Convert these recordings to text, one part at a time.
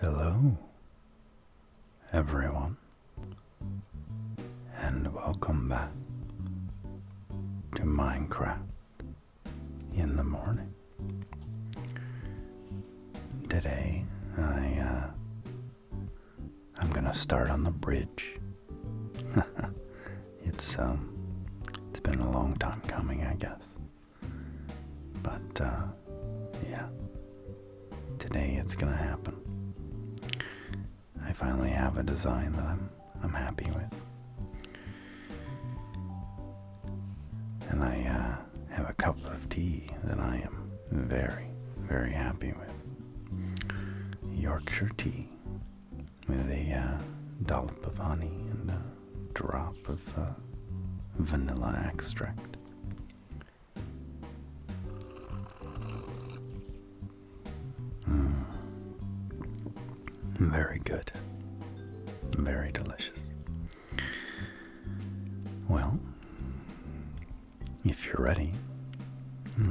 Hello, everyone, and welcome back to Minecraft in the morning. Today, I uh, I'm gonna start on the bridge. it's um, it's been a long time coming, I guess. But uh, yeah, today it's gonna happen. I finally have a design that I'm I'm happy with. And I uh, have a cup of tea that I am very, very happy with. Yorkshire tea with a uh, dollop of honey and drop of vanilla extract. Mm. Very good. Very delicious. Well, if you're ready,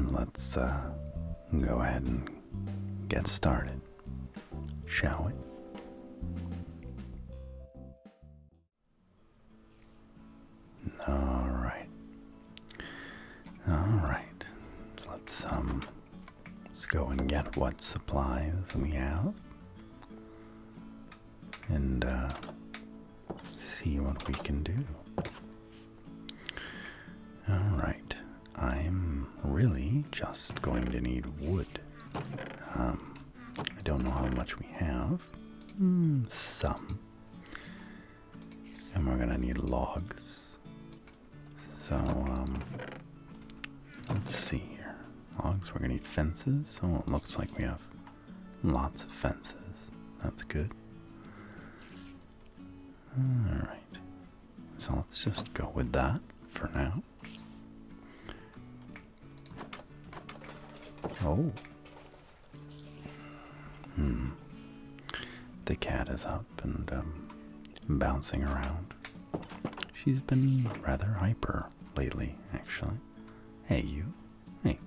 let's uh, go ahead and get started shall we? All right. All right. Let's um let's go and get what supplies we have and uh, see what we can do. All right. I'm really just going to need wood um, I don't know how much we have. Hmm, some. And we're going to need logs. So, um, let's see here. Logs, we're going to need fences. So it looks like we have lots of fences. That's good. Alright. So let's just go with that for now. Oh. Hmm. The cat is up and um, bouncing around. She's been rather hyper lately, actually. Hey, you. Hey.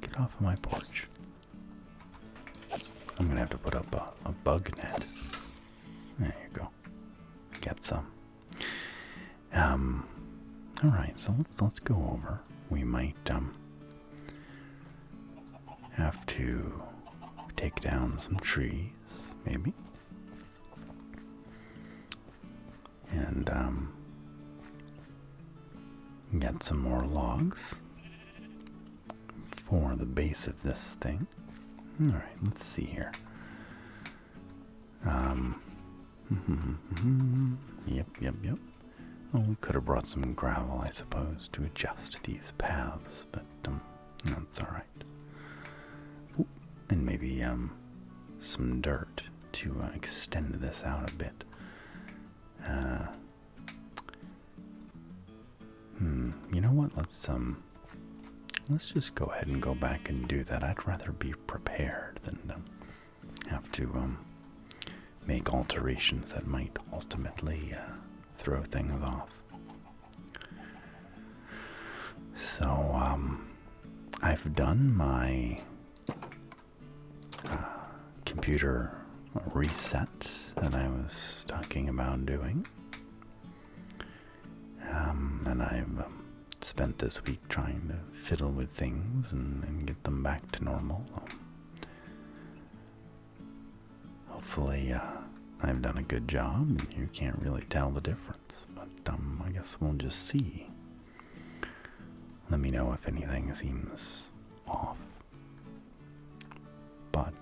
Get off of my porch. I'm gonna have to put up a bug net. There you go get some. Um, all right, so let's let's go over. We might um, have to take down some trees, maybe. And um, get some more logs for the base of this thing. All right, let's see here. Um, yep, yep, yep. Well, we could have brought some gravel, I suppose, to adjust these paths, but um, that's all right. and maybe um, some dirt to uh, extend this out a bit. Uh, hmm. You know what? Let's um. Let's just go ahead and go back and do that. I'd rather be prepared than have to um, make alterations that might ultimately uh, throw things off. So, um, I've done my uh, computer reset that I was talking about doing. Um, and I've um, spent this week trying to fiddle with things and, get them back to normal. Um, hopefully, uh, I've done a good job and you can't really tell the difference, but I guess we'll just see. Let me know if anything seems off. But,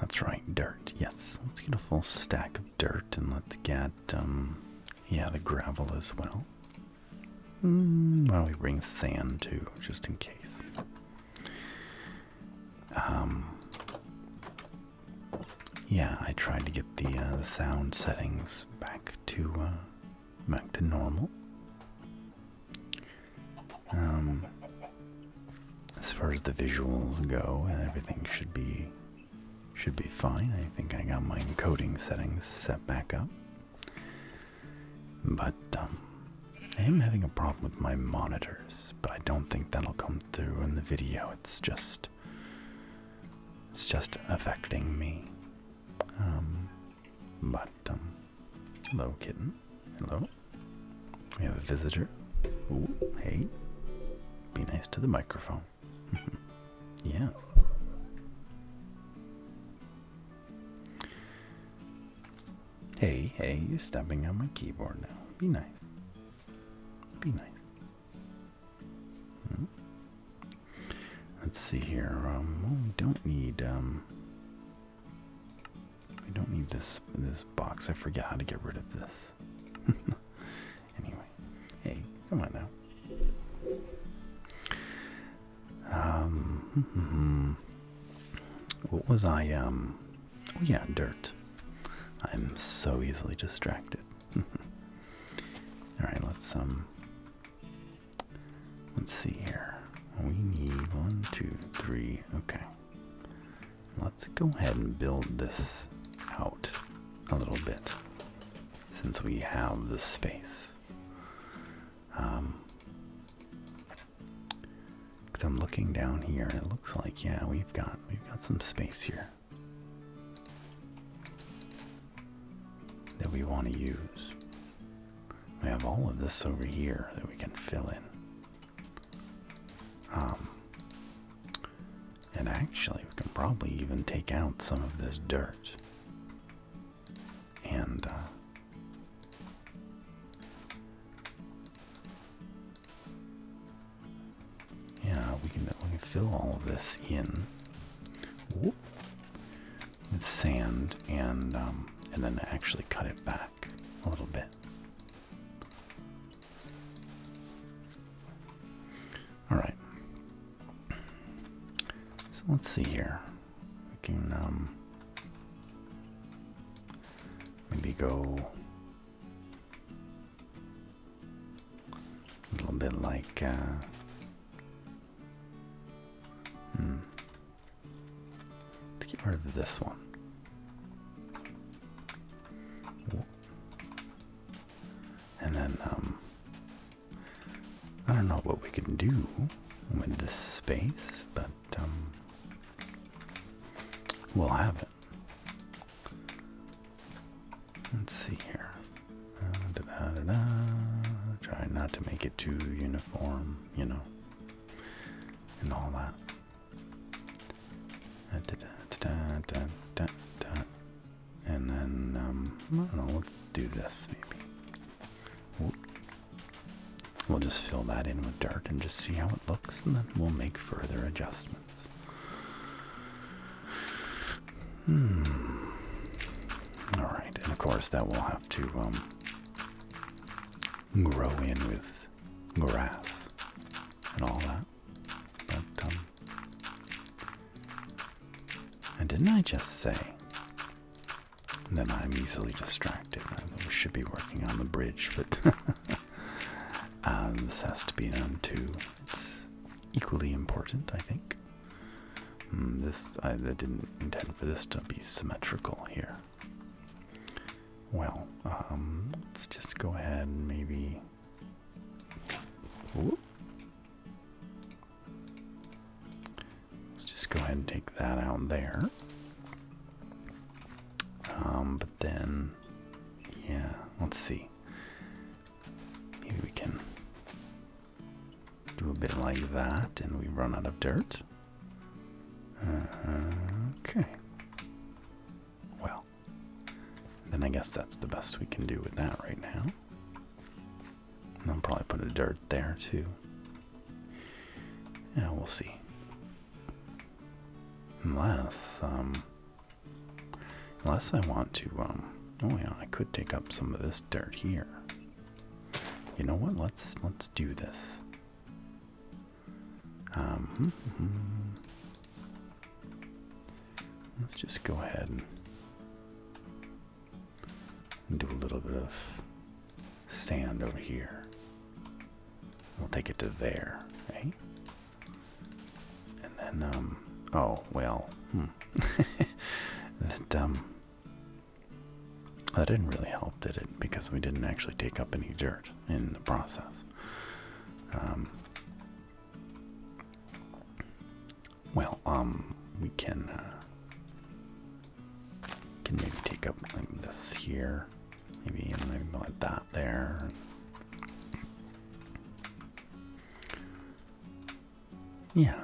that's right, dirt. Yes, let's get a full stack of dirt and let's get, um, yeah, the gravel as well. Mm, why don't we bring sand too, just in case? Um, yeah, I tried to get the, uh, sound settings back to uh, back to normal. Um, as far as the visuals go, everything should be should be fine. I think I got my encoding settings set back up, but um, I am having a problem with my monitors. But I don't think that'll come through in the video. It's just it's just affecting me. Um, but hello, kitten. Hello. Oh, we have a visitor. hey, be nice to the microphone. yeah. Hey, hey, you're stepping on my keyboard now. Be nice. Be nice. Hmm? Let's see here. Um, we don't need um, I don't need this this box. I forget how to get rid of this. anyway, hey, come on now. Um, what was I? Um, oh yeah, dirt. I'm so easily distracted. All right, let's um, let's see here. We need one, two, three. Okay. Let's go ahead and build this out a little bit since we have the space. Um, Cause I'm looking down here and it looks like yeah we've got we've got some space here that we want to use. We have all of this over here that we can fill in. Um, and actually, we can probably even take out some of this dirt. And, uh, yeah, we can, we can fill all of this in with sand and, um, and then actually cut it back a little bit. All right. So let's see here. We can um, maybe go a little bit like. Uh, hmm. Let's get rid of this one. And then, um, I don't know what we can do with this space, but, um, we'll have it. Let's see here. Uh, da -da -da Try not to make it too uniform, you know, and all that. Uh, and then, um, let's do this maybe. We'll just fill that in with dirt and just see how it looks, and then we'll make further adjustments. Hmm. Alright, and of course that will have to um, grow in with grass and all that. But, um, and didn't I just say that I'm easily distracted? I should be working on the bridge, but uh, this has to be done too. It's equally important, I think. Hmm, this I didn't intend for this to be symmetrical here. Well, um, let's just go ahead and maybe. Let's just go ahead and take that out there. Um, but then, yeah, let's see. Maybe we can do a bit like that and we run out of dirt. Uh-huh. Okay. Well, then I guess that's the best we can do with that right now. I'll probably put a dirt there too. Yeah, we'll see. Unless, um, unless I want to, um, oh yeah, I could take up some of this dirt here. You know what? Let's let's do this. Um, hmm, hmm. let's just go ahead and do a little bit of sand over here. We'll take it to there, right? And then, um, oh, well, hmm. um, that didn't really help, did it? Because we didn't actually take up any dirt in the process. Um, well, um, we can uh, can maybe take up like this here, maybe and like that there. Yeah,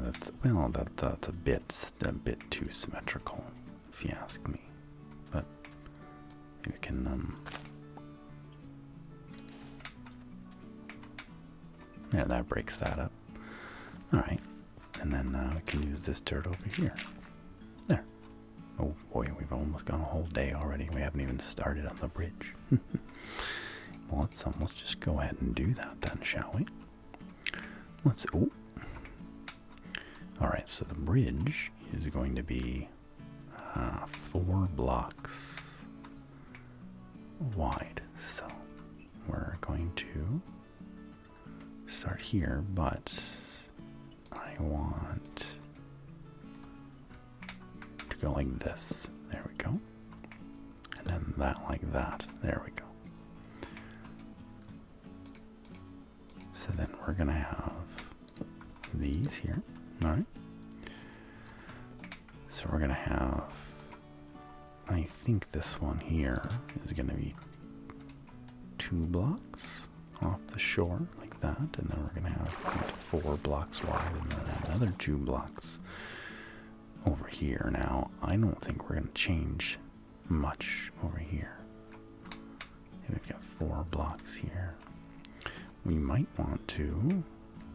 that's well, that that's a bit a bit too symmetrical if you ask me. But we can um Yeah, that breaks that up. Alright. And then uh, we can use this dirt over here. There. Oh boy, we've almost gone a whole day already. We haven't even started on the bridge. well, let's, um, let's just go ahead and do that then, shall we? Let's, oh, all right, so the bridge is going to be uh, four blocks wide. So we're going to start here, but I want to go like this. There we go. And then that like that. There we go. So then we're going to have these here. All right. So we're going to have, I think this one here is going to be two blocks off the shore like that. And then we're going to have four blocks wide and then another two blocks over here. Now, I don't think we're going to change much over here. we've got four blocks here. We might want to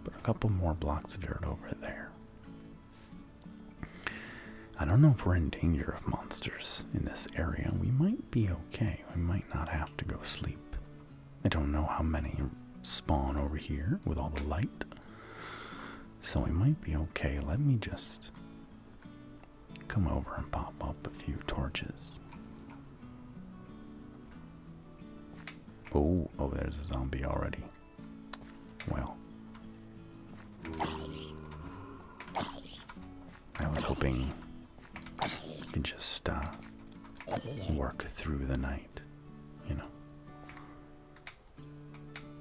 put a couple more blocks of dirt over there. I don't know if we're in danger of monsters in this area. We might be okay. We might not have to go sleep. I don't know how many spawn over here with all the light. So we might be okay. Let me just come over and pop up a few torches. Oh, oh, there's a zombie already. Well. I was hoping you could just uh, work through the night, you know.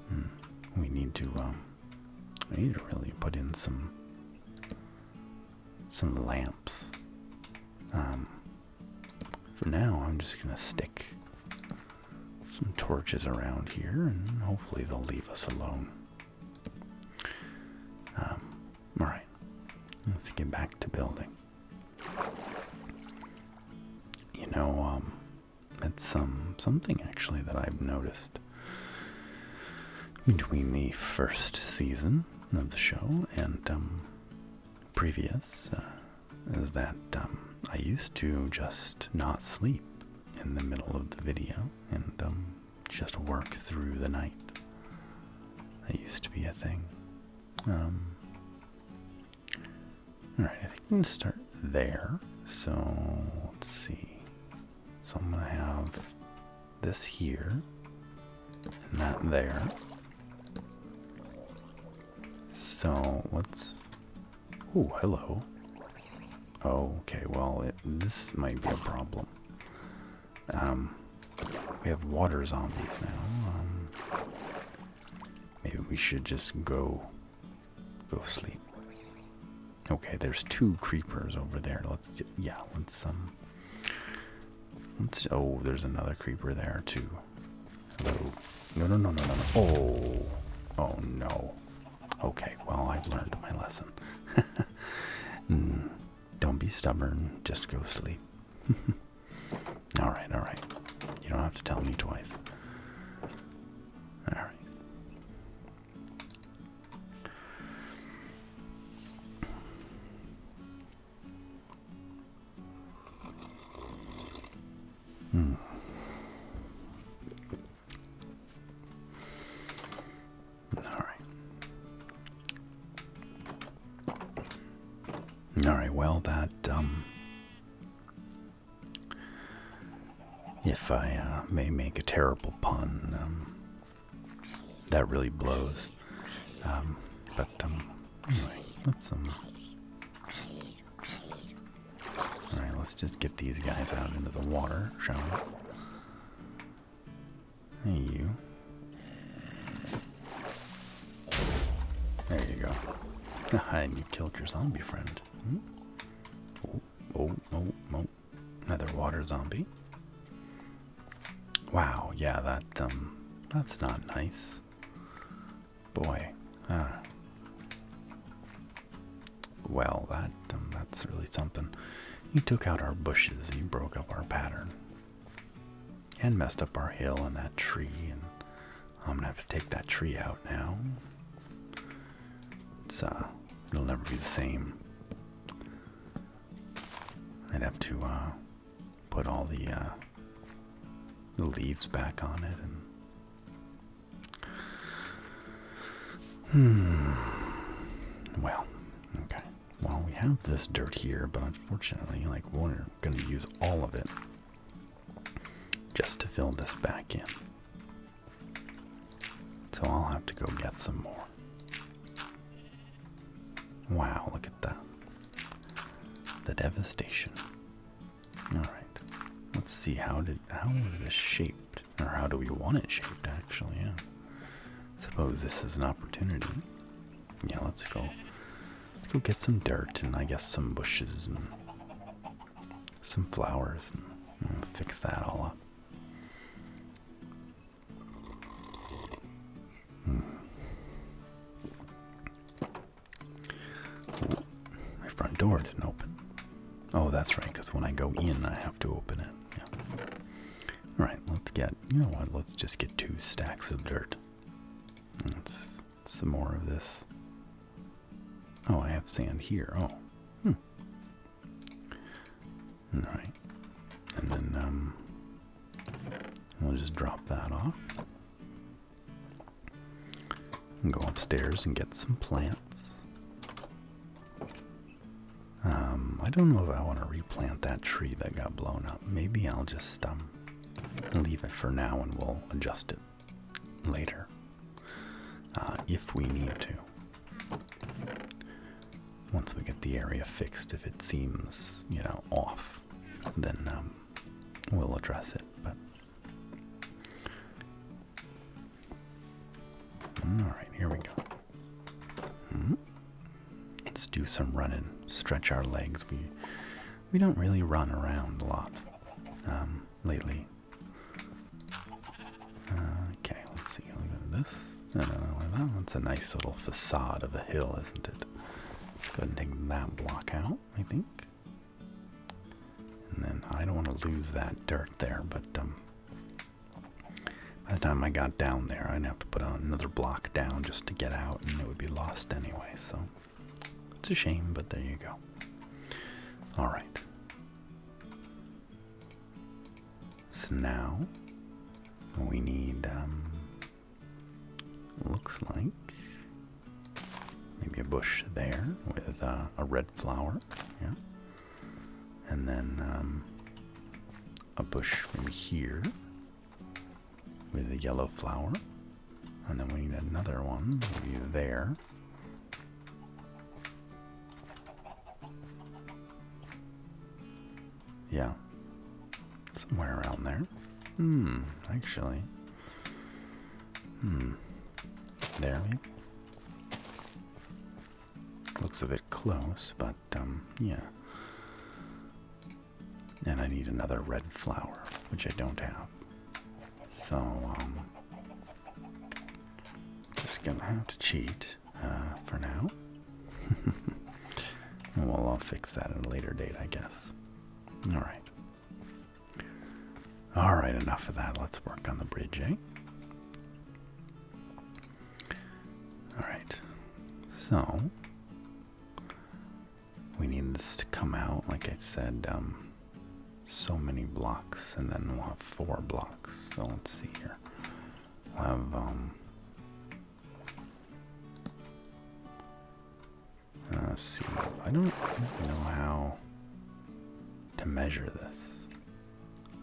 Hmm, we need to um, I need to really put in some some lamps. Um, for now, I'm just gonna stick some torches around here, and hopefully they'll leave us alone. Um, all right, let's get back to building. You know, um, it's um something actually that I've noticed between the first season of the show and um, previous uh, is that um, I used to just not sleep in the middle of the video and um, just work through the night. That used to be a thing. Alright, I think we can start there. So, let's see. So I'm going to have this here and that there. So let's... Oh, hello. Okay, well, this might be a problem. Um, we have water zombies now. Um, maybe we should just go go sleep. Okay, there's two creepers over there. Let's yeah, let's um let's oh there's another creeper there too. Hello. No no no no no Oh oh no. Okay, well I've learned my lesson. Hmm, don't be stubborn, just go sleep. alright, alright. You don't have to tell me twice. Alright. Hmm. All right. All right. Well, that um, if I uh, may make a terrible pun. Um, that really blows. Um, but um, anyway, let's um. All right, let's just get these guys out into the water, shall we? Hey, you. There you go. and you killed your zombie friend. Hmm? Oh, oh, oh, oh. Another water zombie. Wow, yeah, that um that's not nice. Boy. Ah. Well, that um, that's really something. He took out our bushes, He broke up our pattern. And messed up our hill and that tree, and I'm gonna have to take that tree out now it'll never be the same. I'd have to uh, put all the, uh, the leaves back on it and. Hmm. Well, okay. Well, we have this dirt here, but unfortunately, like, we're going to use all of it just to fill this back in. So I'll have to go get some more. Wow, look at that. The devastation. Alright. Let's see how did how is this shaped? Or how do we want it shaped actually, yeah. Suppose this is an opportunity. Yeah, let's go. Let's go get some dirt and I guess some bushes and some flowers and fix that all up. Hmm. my front door didn't open. Oh, that's right, because when I go in, I have to open it. Alright, let's get, you know what, let's just get two stacks of dirt. some more of this Oh, I have sand here. Oh. Hmm. Alright. And then um we'll just drop that off. And go upstairs and get some plants. Um, I don't know if I want to replant that tree that got blown up. Maybe I'll just um leave it for now and we'll adjust it later. Uh, if we need to. Once we get the area fixed, if it seems, you know, off, then um, we'll address it. But all right, here we go. Hmm? Let's do some running, stretch our legs. We we don't really run around a lot um, lately. Okay, let's see. I'll go this. No, no, that one's a nice little facade of a hill, isn't it? go and take that block out, I think. And then I don't want to lose that dirt there, but um, by the time I got down there, I'd have to put another block down just to get out, and it would be lost anyway, so it's a shame, but there you go. Alright. So now we need, um, looks like maybe a bush there with uh, a red flower, yeah, and then um, a bush from here with a yellow flower, and then we need another one there yeah. Somewhere around there. Hmm, actually. Hmm. There, maybe? Looks a bit close, but, um, yeah. And I need another red flower, which I don't have. So, um, just gonna have to cheat uh, for now. well, I'll fix that at a later date, I guess. All right. All right, enough of that. Let's work on the bridge, eh? All right. So we need this to come out, like I said. Um, so many blocks, and then we'll have four blocks. So let's see here. We'll have um, uh, see. I don't know how to measure this.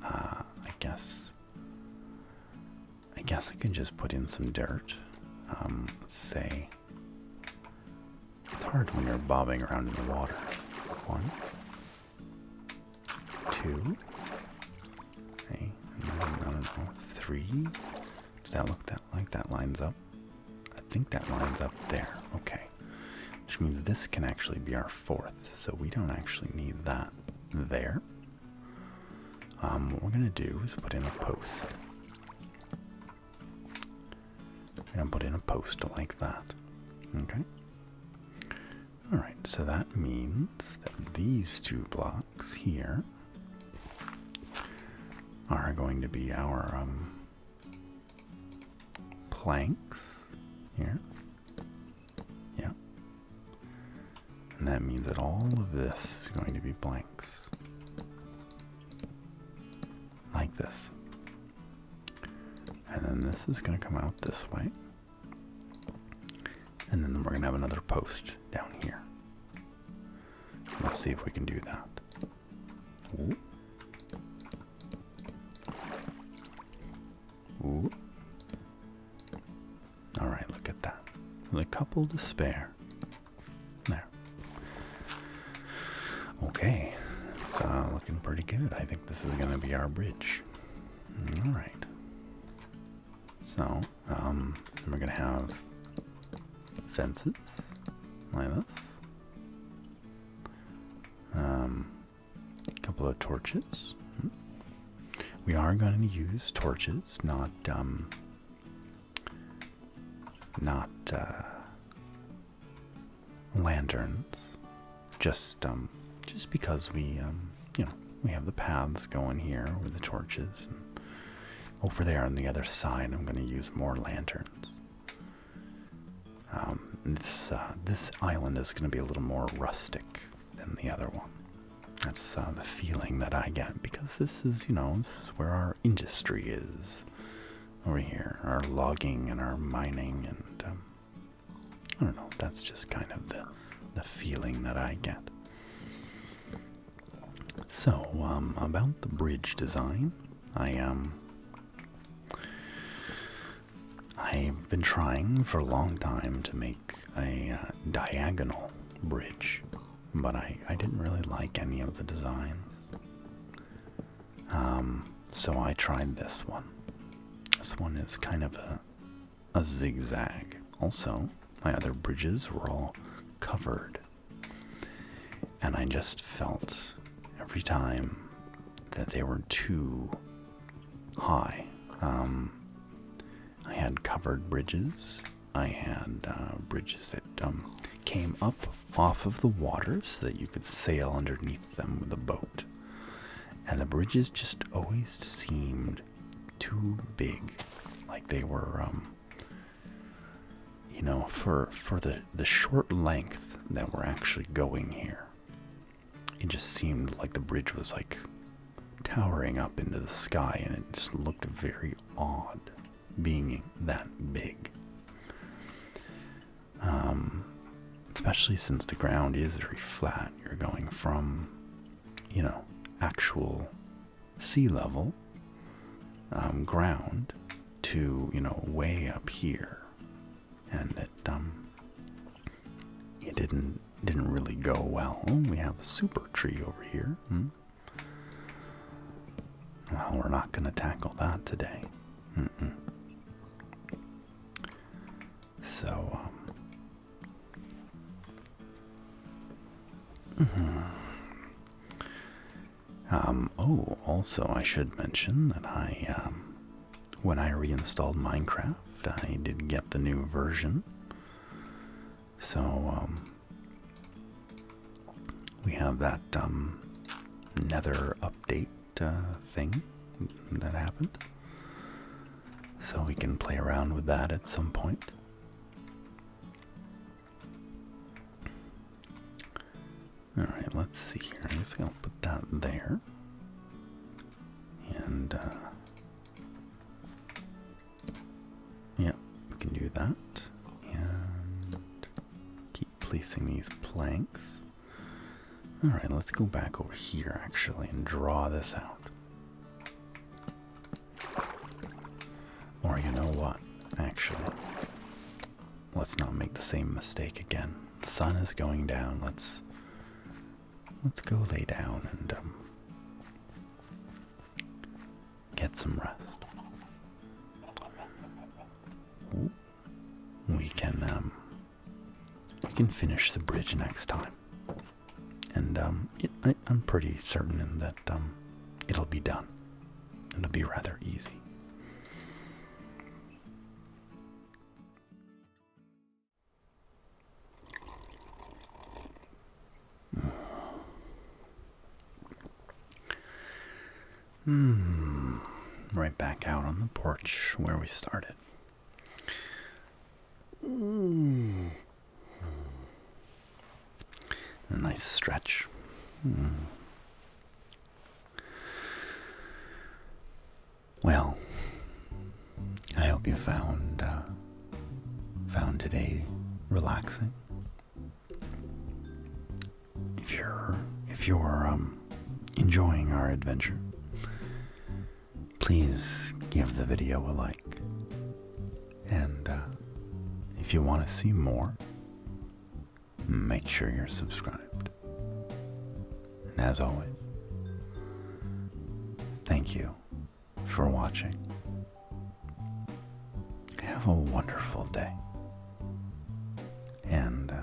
Uh, I guess. I guess I can just put in some dirt. Um, let's say. It's hard when you're bobbing around in the water. One, Two. Three. Does that look that like that lines up? I think that lines up there. Okay. Which means this can actually be our fourth. So we don't actually need that there. Um, what we're going to do is put in a post and put in a poster like that. Okay? Alright, so that means that these two blocks here are going to be our um, planks here. Yeah. And that means that all of this is going to be blanks. Like this. And then this is going to come out this way. And then we're going to have another post down here. Let's see if we can do that. Ooh. All right, look at that. The couple to spare. There. Okay, it's uh, looking pretty good. I think this is going to be our bridge. All right. So, um, we're going to have fences like this. a um, couple of torches. We are going to use torches, not um, not uh, lanterns, just um, just because we um, you know we have the paths going here with the torches. over there on the other side, I'm going to use more lanterns. Um, this uh, this island is going to be a little more rustic than the other one. That's uh, the feeling that I get because this is you know this is where our industry is over here, our logging and our mining and um, I don't know, that's just kind of the the feeling that I get. So, um, about the bridge design, I um I've been trying for a long time to make a uh, diagonal bridge, but I, I didn't really like any of the design. Um, so I tried this one. This one is kind of a, zigzag. Also, my other bridges were all covered. And I just felt every time that they were too high. Um, I had covered bridges. I had uh, bridges that um, came up off of the water so that you could sail underneath them with a boat, and the bridges just always seemed too big, like they were, um, you know, for for the the short length that we're actually going here. It just seemed like the bridge was like towering up into the sky, and it just looked very odd being that big. Um, especially since the ground is very flat. You're going from, you know, actual sea level um, ground to, you know, way up here, and it um, it didn't didn't really go well. we have a super tree over here. Hmm? Well, we're not going to tackle that today. So, um, mhm. um, oh, also I should mention that I, um, when I reinstalled Minecraft, I did get the new version. So, um, we have that nether update uh, thing that happened. So we can play around with that at some point. Alright, let's see here. I'm just going to put that there. And, uh, yeah, we can do that. And keep placing these planks. All right, let's go back over here actually and draw this out. Or you know what? Actually, let's not make the same mistake again. Sun is going down. Let's let's go lay down and um, get some rest. We can um, we can finish the bridge next time. And um, I, am pretty certain that um, it'll be done. It'll be rather easy. Hmm. Right back out on the porch where we started. Hmm. A nice stretch. Hmm. Well, I hope you found uh, found today relaxing if you're if you're um, enjoying our adventure, please give the video a like. And uh, if you want to see more, make sure you're subscribed. And as always, thank you for watching. Have a wonderful day. And. Uh,